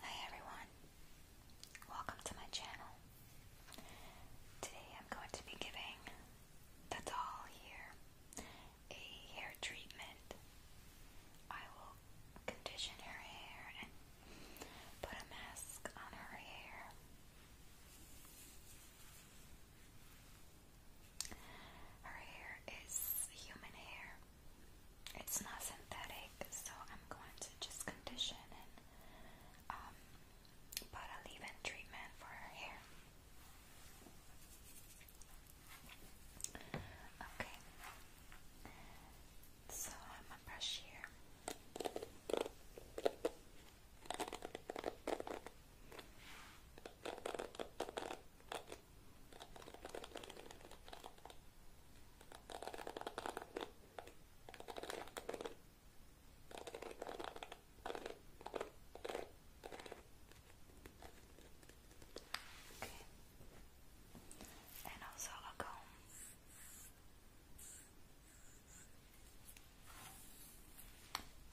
Hi everyone, welcome to my channel. Today I'm going to be giving the doll here a hair treatment. I will condition her hair and put a mask on her hair. Her hair is human hair it's not synthetic, so I'm going to just condition and um, put a leave-in treatment for her hair. Okay, so I'm gonna brush here and also a comb.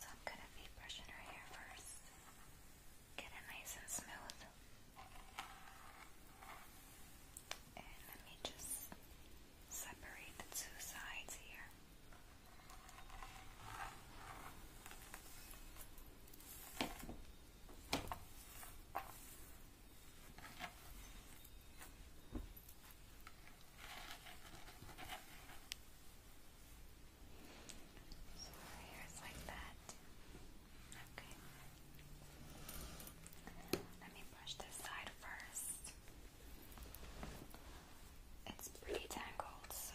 So I'm going to be brushing her hair first. Get it nice and smooth. And let me just separate the two sides here. So here's like that that. Okay. Let me brush this side first. It's pretty tangled, so.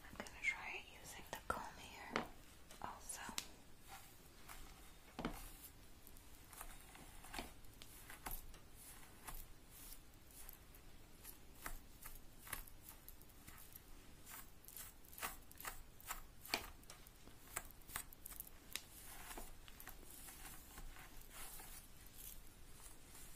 I'm going to try using the comb also.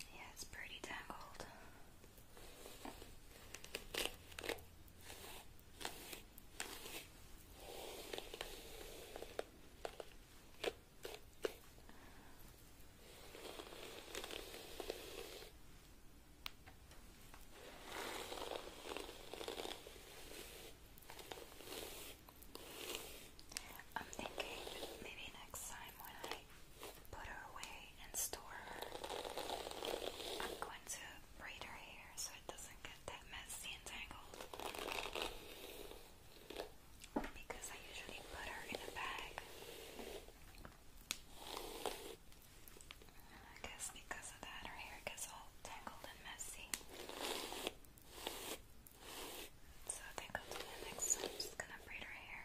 Yeah, it's pretty tangled. I'm thinking maybe next time when I put her away and store her, I'm going to braid her hair so it doesn't get that messy and tangled. Because I usually put her in a bag. I guess because of that, her hair gets all tangled and messy. So I think i the next one. I'm just gonna braid her hair.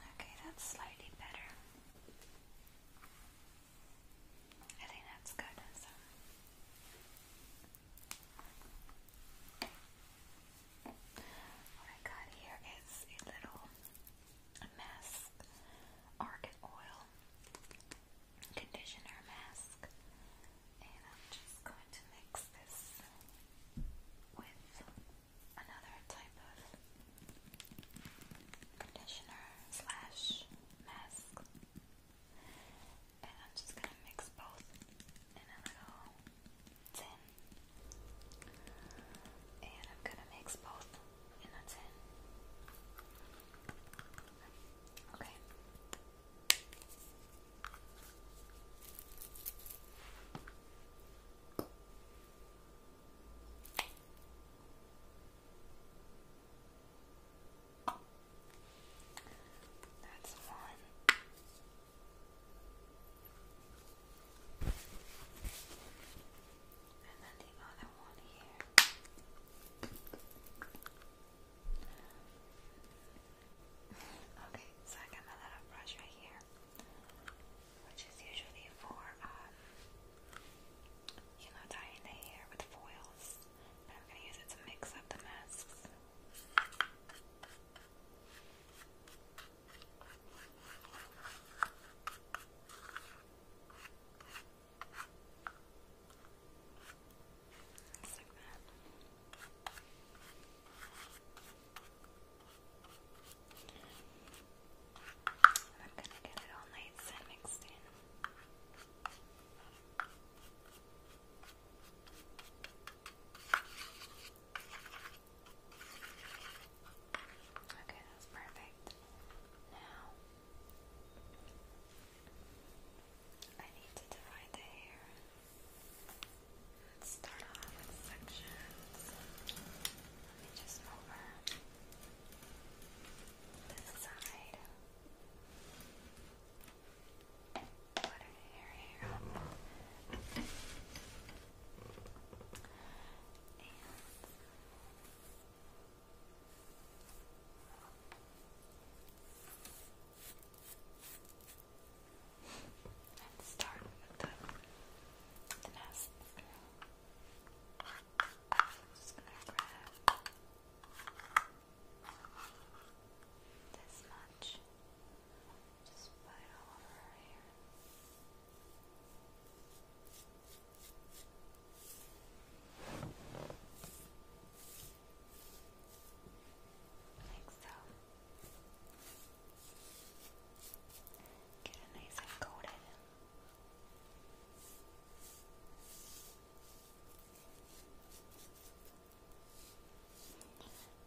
Okay, that's slightly better. I think that's good. What I got here is a little mask argan oil conditioner mask. And I'm just going to mix this with another type of conditioner slash mask. And I'm just going to mix both in a little tin. And I'm going to mix both and that's it. Okay. That's one. And then the other one here. Okay, so I got my little brush right here, which is usually for, um, you know, dyeing the hair with foils. But I'm gonna use it to mix up the masks. Just like I'm gonna get it all nice and mixed in. Okay, that's perfect. Now I need to divide the hair. Let's start off with sections. Let me just over this side. Put her hair Let's start with the, nest. just gonna grab this much. Just put it all over here. Like so. Get it nice and coated.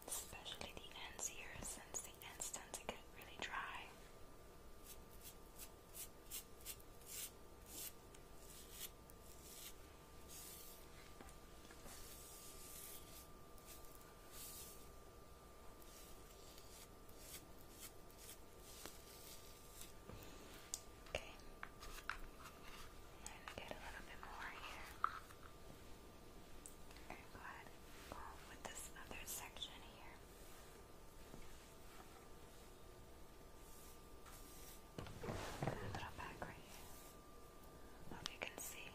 Especially the ends here, since the ends tend to get really dry. Okay. Okay. And get a little bit more here. And go ahead go with this other section here. A little back right here. Hope you can see.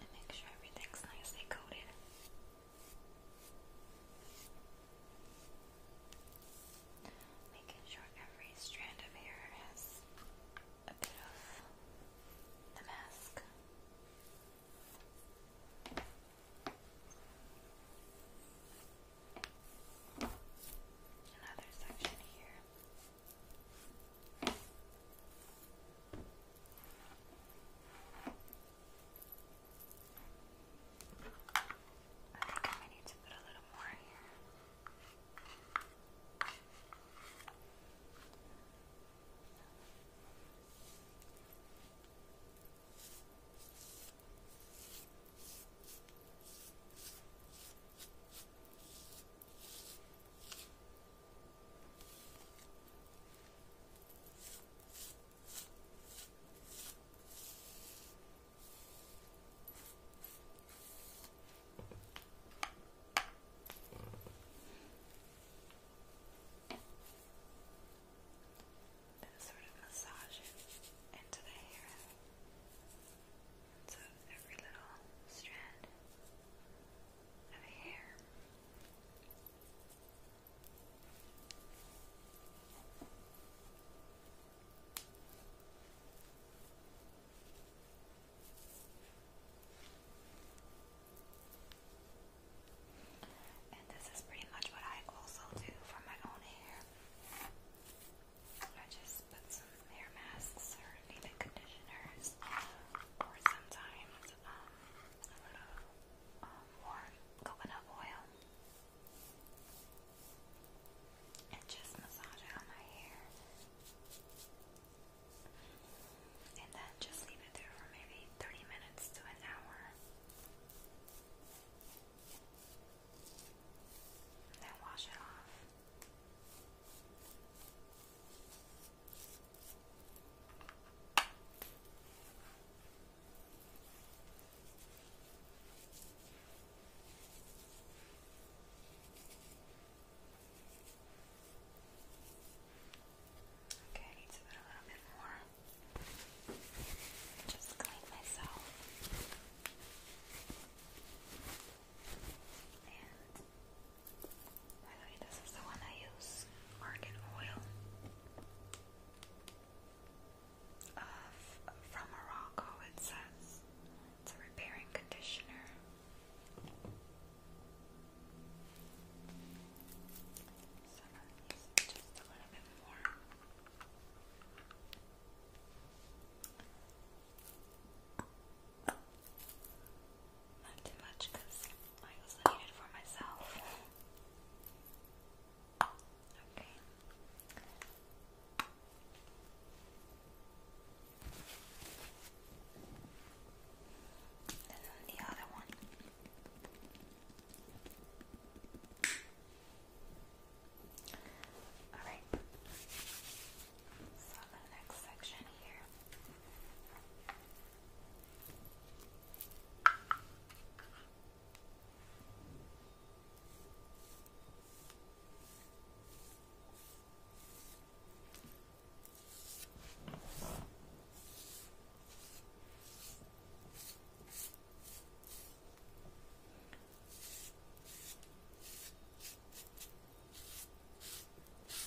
And make sure everything's nicely coated. Making sure every strand of hair has a bit of the mask. Another section here. I think I need to put a little more here. Okay. And sort of massage it into the hair. So every little strand of hair. And this is pretty much what I also do for my own hair. I just put some hair masks or even conditioners, or sometimes um, a little um, warm coconut oil, and just massage it on my hair, and then just leave it there for maybe 30 minutes to an hour and then wash it off. Okay, I a little bit more. Just clean myself. And by the way, this is the one I use, argan oil from Morocco. It says it's a repairing conditioner. So i use just a little bit more. Not too much because I also need it for myself. Okay. then the other one. Alright, so the next section here.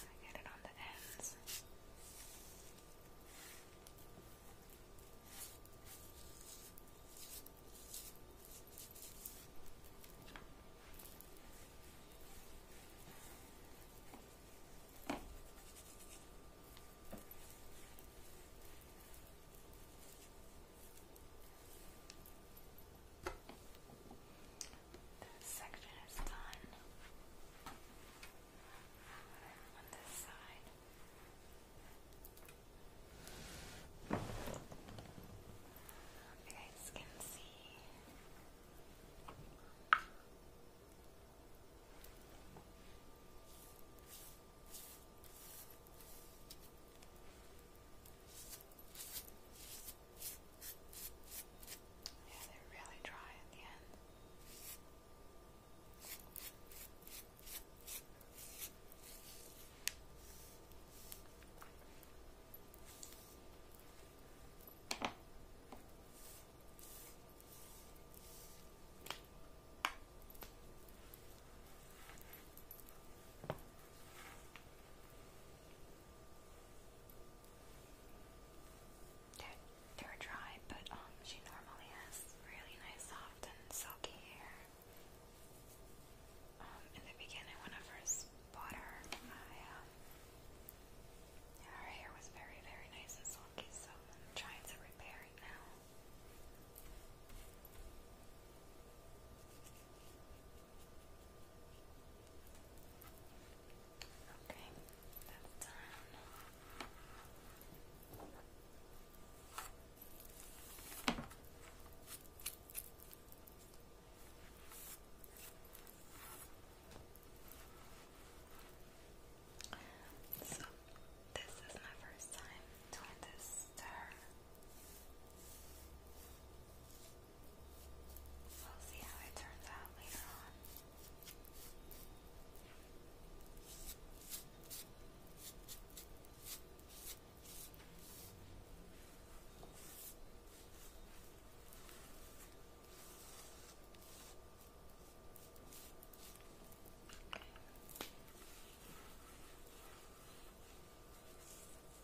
I get it on the ends. This section is done. On this side. You can see yeah, they're really dry at the end. They're, dry, but um, she normally has really nice, soft, and silky hair. Um, in the beginning, when I first bought her, I, um, her hair was very, very nice and silky, so I'm trying to repair it now. Okay, that's done. So, this is my first time doing this stir We'll see how it turns out later on.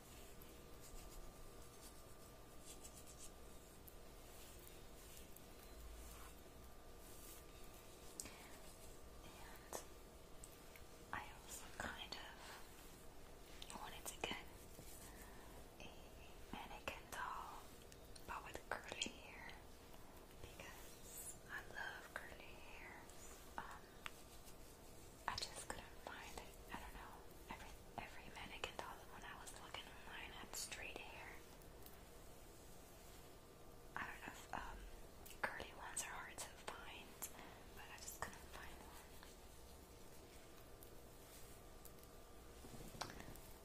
And I also kind of wanted to get a mannequin doll, but with curly hair, because I love curly hair. Um, I just couldn't find I don't know. Every every mannequin doll when I was looking online had straight hair. I don't know um, curly ones are hard to find, but I just couldn't find one.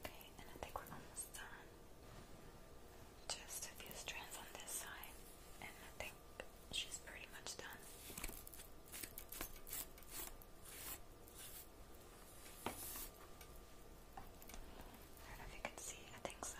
Okay, and I think we're almost done. Just a few strands on this side, and I think she's pretty much done. I don't know if you can see, I think so.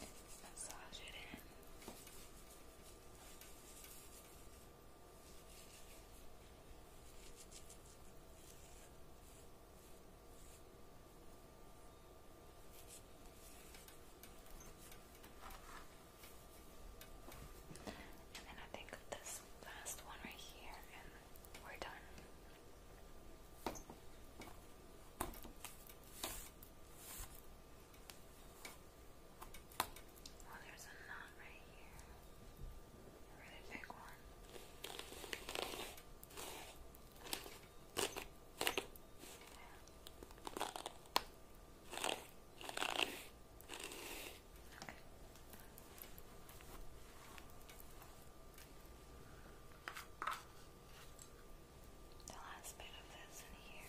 Massage it in. Good. And then I think this last one right here, and we're done. Oh, there's a knot right here a really The last bit of this in here.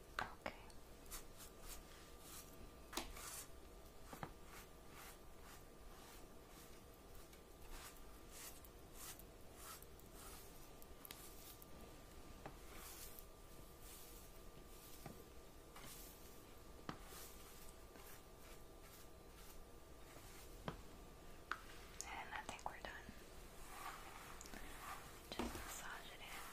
Okay. And I think we're done. Just massage it in.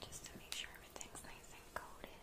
Just to make sure everything's nice and coated.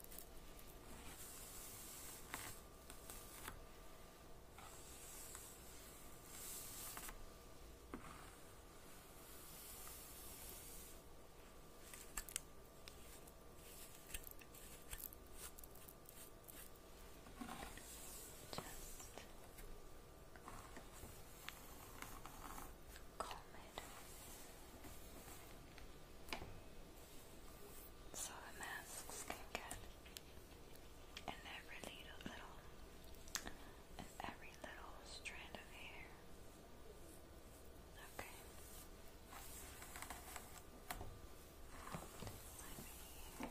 Just calm it so the masks can get in every little, little in every little strand of hair. Okay. Let me Okay.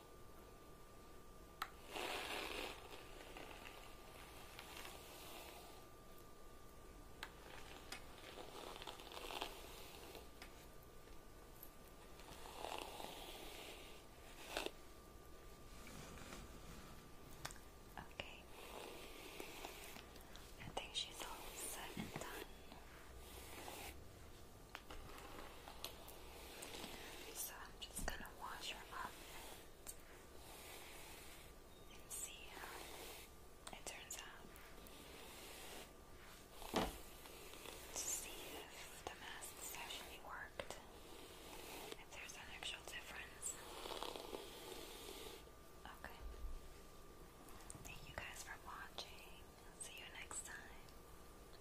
Okay. I think she's all set and done. So I'm just gonna wash her up and, see how it turns out. To see if the masks actually worked. If there's an actual difference. Okay. Thank you guys for watching. See you next time.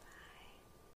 Bye.